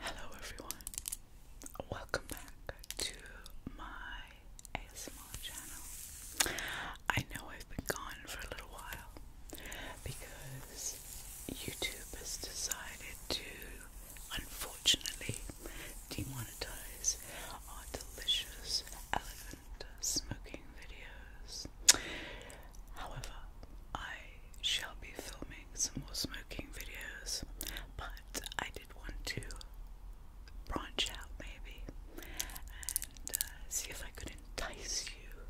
Hello everyone. Welcome back to my ASMR channel. I know I've been gone for a little while because YouTube has decided to unfortunately demonetize our delicious, elegant smoking videos. However, I shall be filming some more smoking videos, but I did want to branch out maybe and uh, see if I could entice you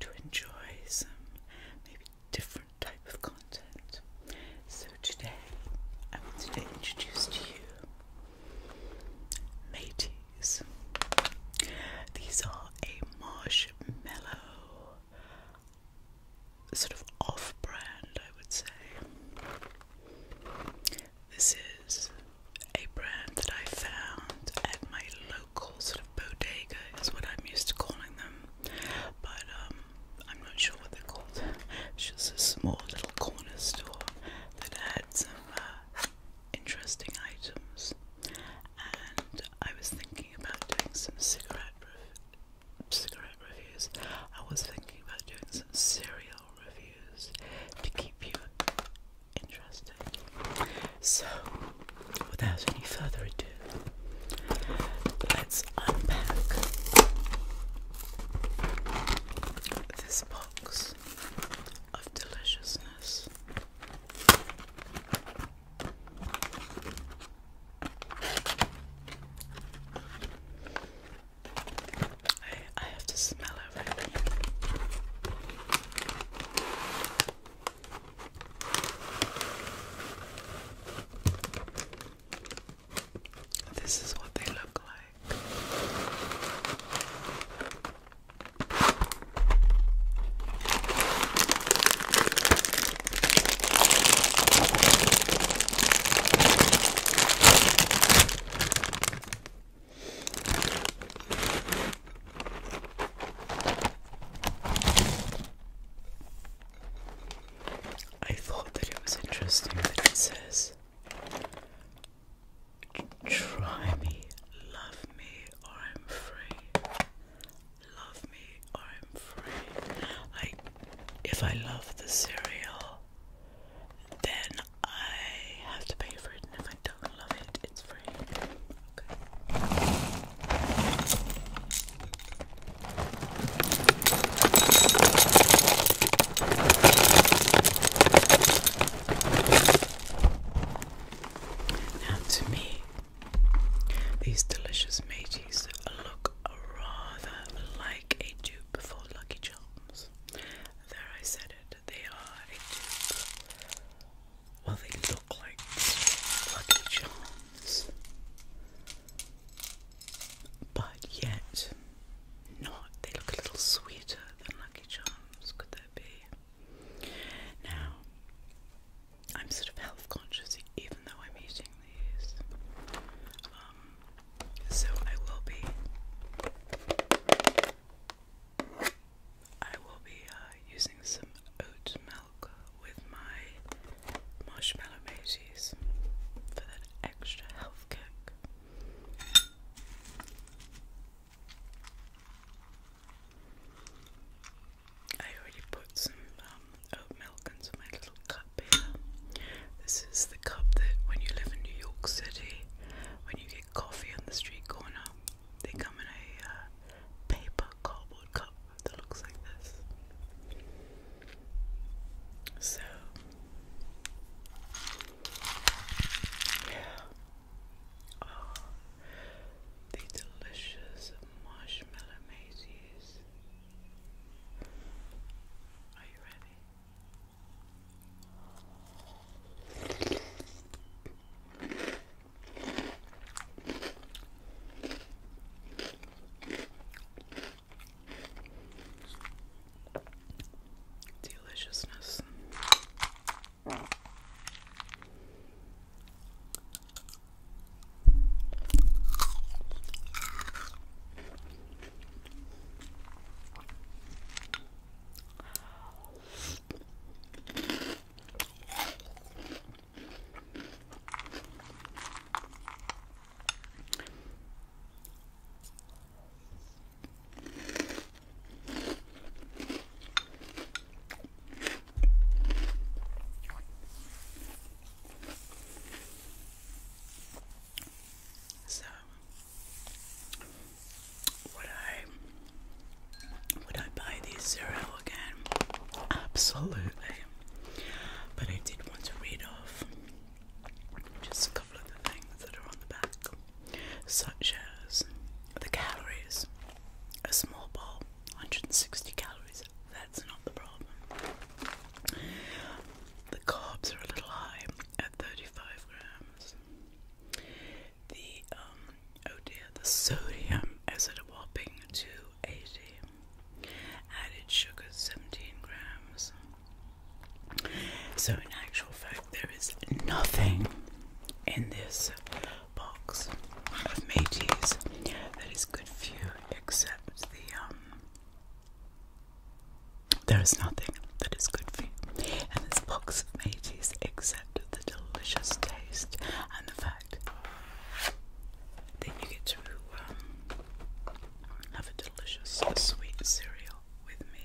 to enjoy some maybe different type of content. So today I wanted to introduce to you Métis these. are a marshmallow sort of off brand, I would say. This is a brand that I found at my local sort of bodega, is what I'm used to calling them, but um, I'm not sure what they're called. It's just a small little corner store that had some uh, interesting items, and I was thinking about doing some cigarette cigarette reviews. I was thinking about doing some cereal reviews to keep you interested. So, without any further ado, let's unpack this box of deliciousness. I, have to smell it This is what they look like. I thought that it was interesting that it says Try me, love me, or I'm free. Love me, or I'm free. Like, if I love the cereal, then I have to pay for it, and if I don't love it, it's free. Okay. Now, to me, these delicious mages look rather like a dupe for Lucky Charms. There, I said it. They are a dupe. Well, they look like Lucky Charms but yet not. They look a little sweeter than Lucky Charms, could that be? Now, I'm sort of health conscious even though I'm eating these. Um, so I will be. I will be uh, using some oat milk with my marshmallow mateys for that extra health kick. I already put some um, milk into my little cup here. This is the cup that when you live in New York City, when you get coffee on the street corner, they come in a uh, paper cardboard cup that looks like this. So, yeah. Oh, the delicious marshmallow mazes. Are you ready? Deliciousness. So would I would I buy these cereal again? Absolutely. But I did want to read off just a couple of the things that are on the back, such as the calories. A small bowl, 160 calories, that's not the problem. The carbs are a little high at 35 grams. The, um, oh dear, the sodium is at a whopping 2 280. Added sugar 17 grams. So, in actual fact, there is nothing in this box of mateys that is good for you except the um. There is nothing that is good for you in this box of Métis except the delicious taste and the fact then you get to um, have a delicious sweet cereal with me.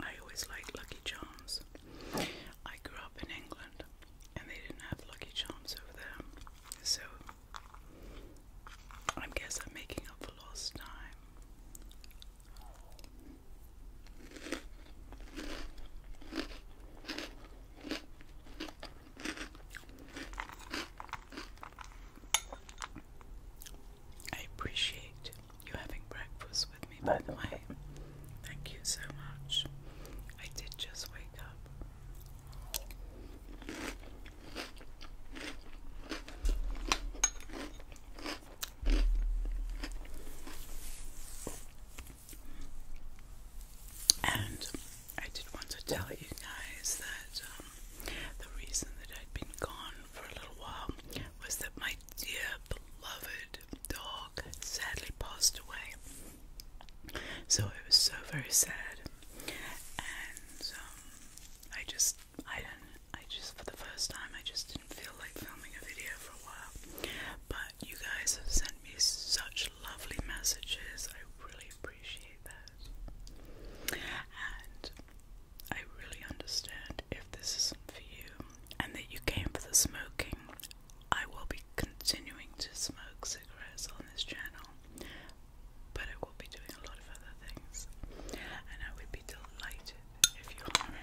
I always like Lucky Charms. I grew up in England and they didn't have Lucky Charms over there, so I guess I'm making up for lost time. I appreciate you're having breakfast with me, by the way. Thank you so much. I did just wake up. And I did want to tell you guys that um, the reason that I'd been gone for a little while was that my dear beloved dog sadly passed away. So it was so very sad, and um, I just I don't I just for the first time I just didn't feel like filming a video for a while. But you guys have sent me such lovely messages. I really appreciate that, and I really understand if this isn't for you and that you came for the smoking. I will be continuing to smoke cigarettes on this channel, but I will be doing a lot of other things, and I would be delighted if you were around.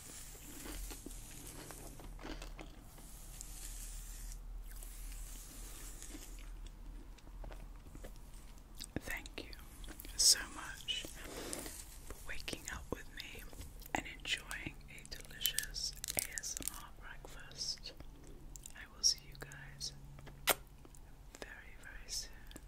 Thank you so much for waking up with me and enjoying a delicious ASMR breakfast. I will see you guys very, very soon.